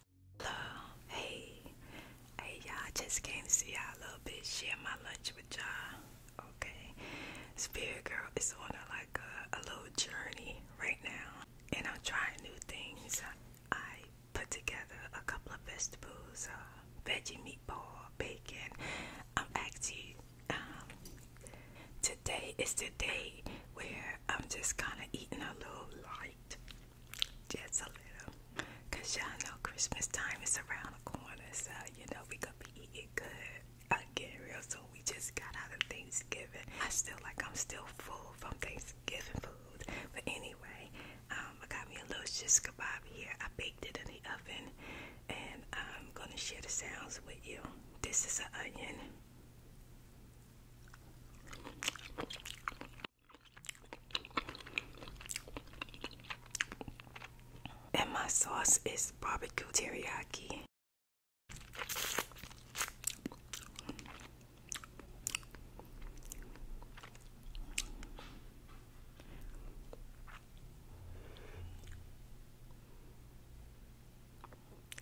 Hello, hey, hey y'all, just came to see y'all a little bit, share my lunch with y'all, okay? Spirit Girl is on a, like a, little journey right now, and I'm trying new things. I put together a couple of vegetables, uh, veggie meatball, bacon. I'm actually, um, today is the day where I'm just kind of eating a little light just a little. Cause y'all know Christmas time is around the corner, so you know we gonna be eating good again real soon. We just got out of Thanksgiving. I still like I'm still full from Thanksgiving food. But anyway, um, I got me a little shish kebab here. I baked it in the oven and I'm gonna share the sounds with you. This is an onion. And my sauce is barbecue teriyaki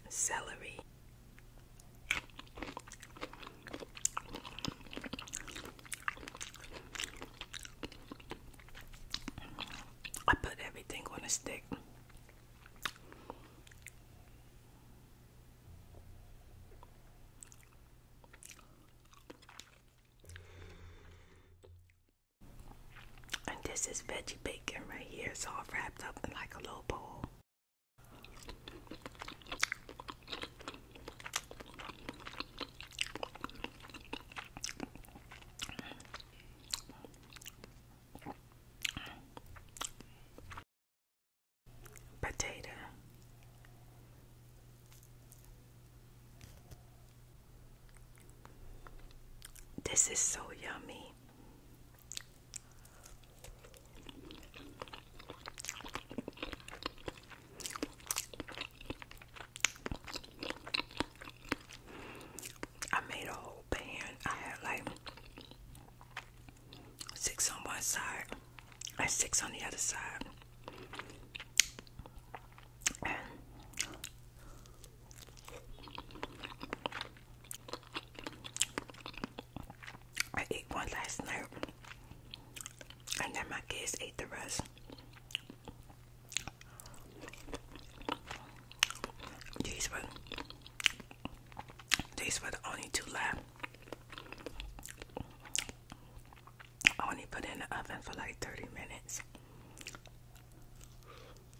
celery. I put everything on a stick. And this is veggie bacon right here. It's all wrapped up in like a little bowl. Potato. This is so yummy. I made a whole pan. I had like six on one side and six on the other side. I ate one last night, and then my kids ate the rest. These were these were the only two left. I only put in the oven for like 30 minutes.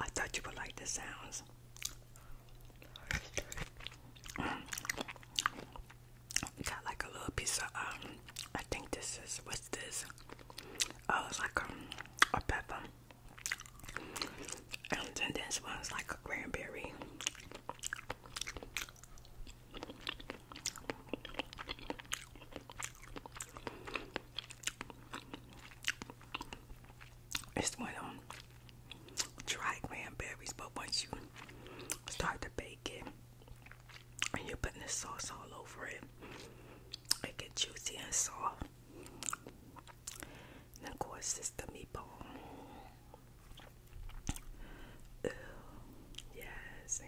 I thought you would like the sounds. Got like a little piece of um I think this is what's this? Oh it's like a, um, a pepper. And then this one's like a cranberry. It's one of try dry cranberries, but once you start to bake it and you're putting the sauce all over it, it gets juicy and soft. And of course, it's the meatball. Ew. Yes.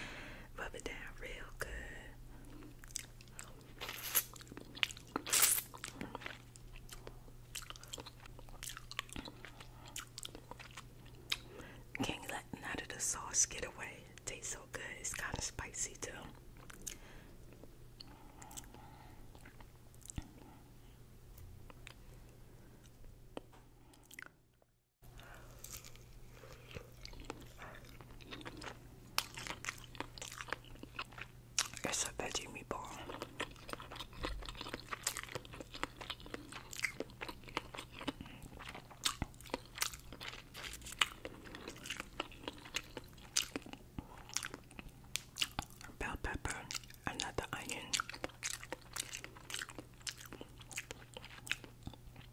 Rub it down real good. Can't let none of the sauce get away. tastes so good. It's kind of spicy too. It's a veggie meatball. Bell pepper, another onion.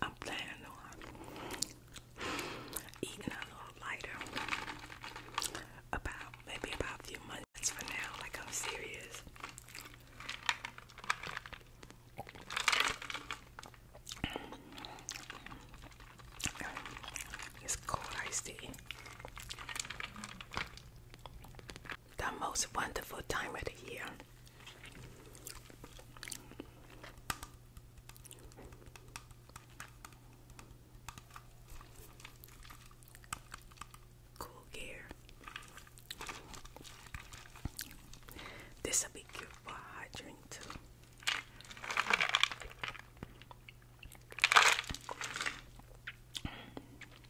I'm planning on uh, eating a little lighter about maybe about a few months from now, like I'm serious. It's cold iced tea the most wonderful time of the year. Cool gear. This will be cute for a hot drink too.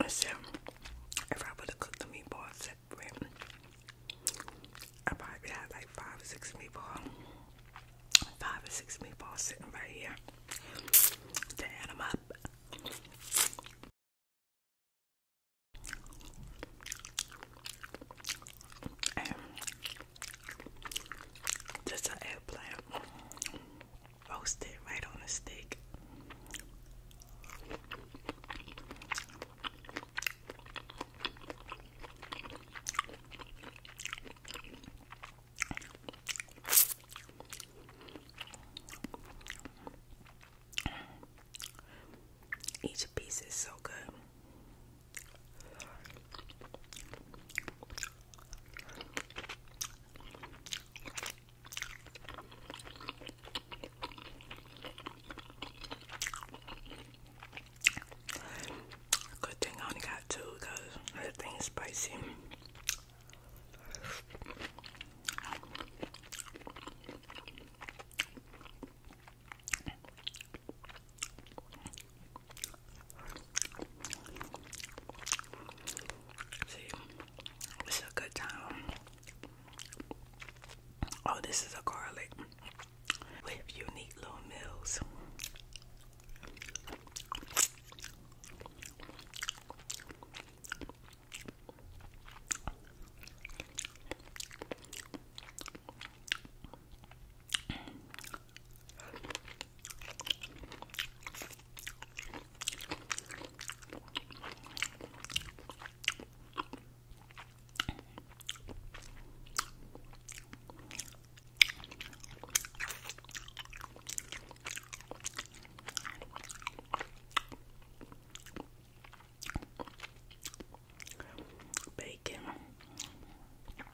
I if I would have cooked the meatballs separate, I probably had like five six meatballs. Five or six meatballs sitting right here. To add them up. And just an eggplant roast it right on a stick. Each piece is so good. Good thing I only got two because that thing is spicy. See, it's a good time. Oh, this is a garlic with unique little meals. Bacon.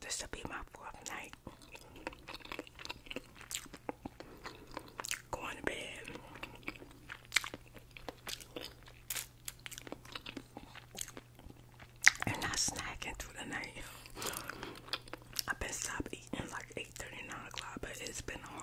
This will be my fourth night going to bed. And not snacking through the night. i been stopped eating like 8 o'clock, but it's been hard.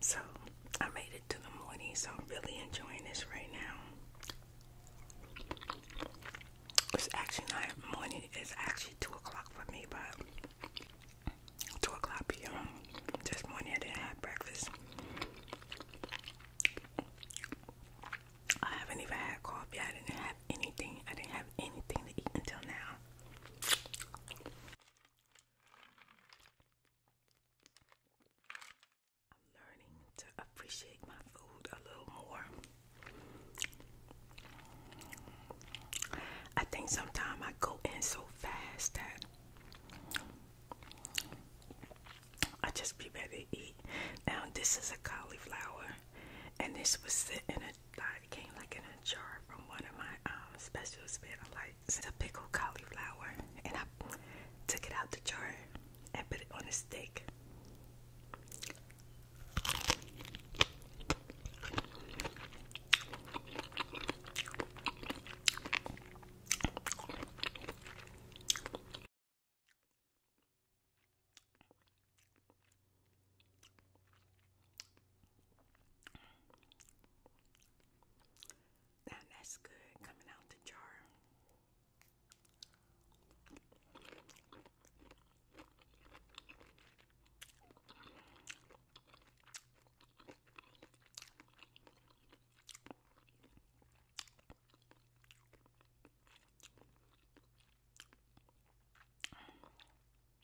So I made it to the morning, so I'm really enjoying this right now. It's actually not morning, it's actually 2 o'clock for me, but 2 o'clock p.m. This morning I didn't have breakfast. I haven't even had coffee, I didn't have anything, I didn't have anything to eat until now. I'm learning to appreciate my food a little more. I think sometimes I go in so fast that I just be ready to eat. Now this is a cauliflower and this was sitting a, it came like in a jar from one of my um, special specials, but I like it's a pickled cauliflower, and I took it out the jar and put it on a stick. Now that's good coming out the jar.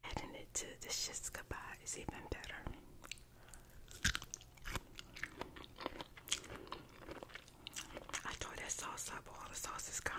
Adding it to the shish kebab is even better. I tore that sauce up, all the sauce is gone.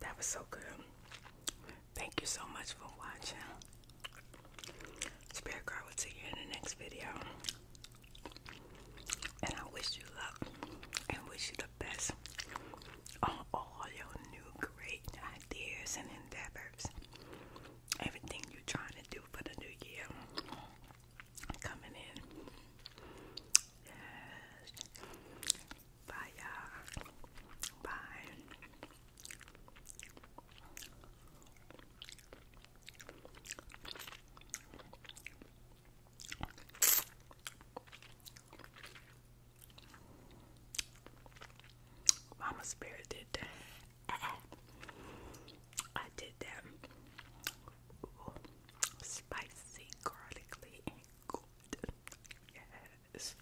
That was so good. Thank you so much for watching. Spirit girl will see you in the next video. And I wish you luck and wish you the best on all your new great ideas and endeavors. Everything you're trying to do for the new year coming in. Yes. Bye, y'all. Bye. Mama Spirit did that. I did that spicy, garlicky, good. Yes.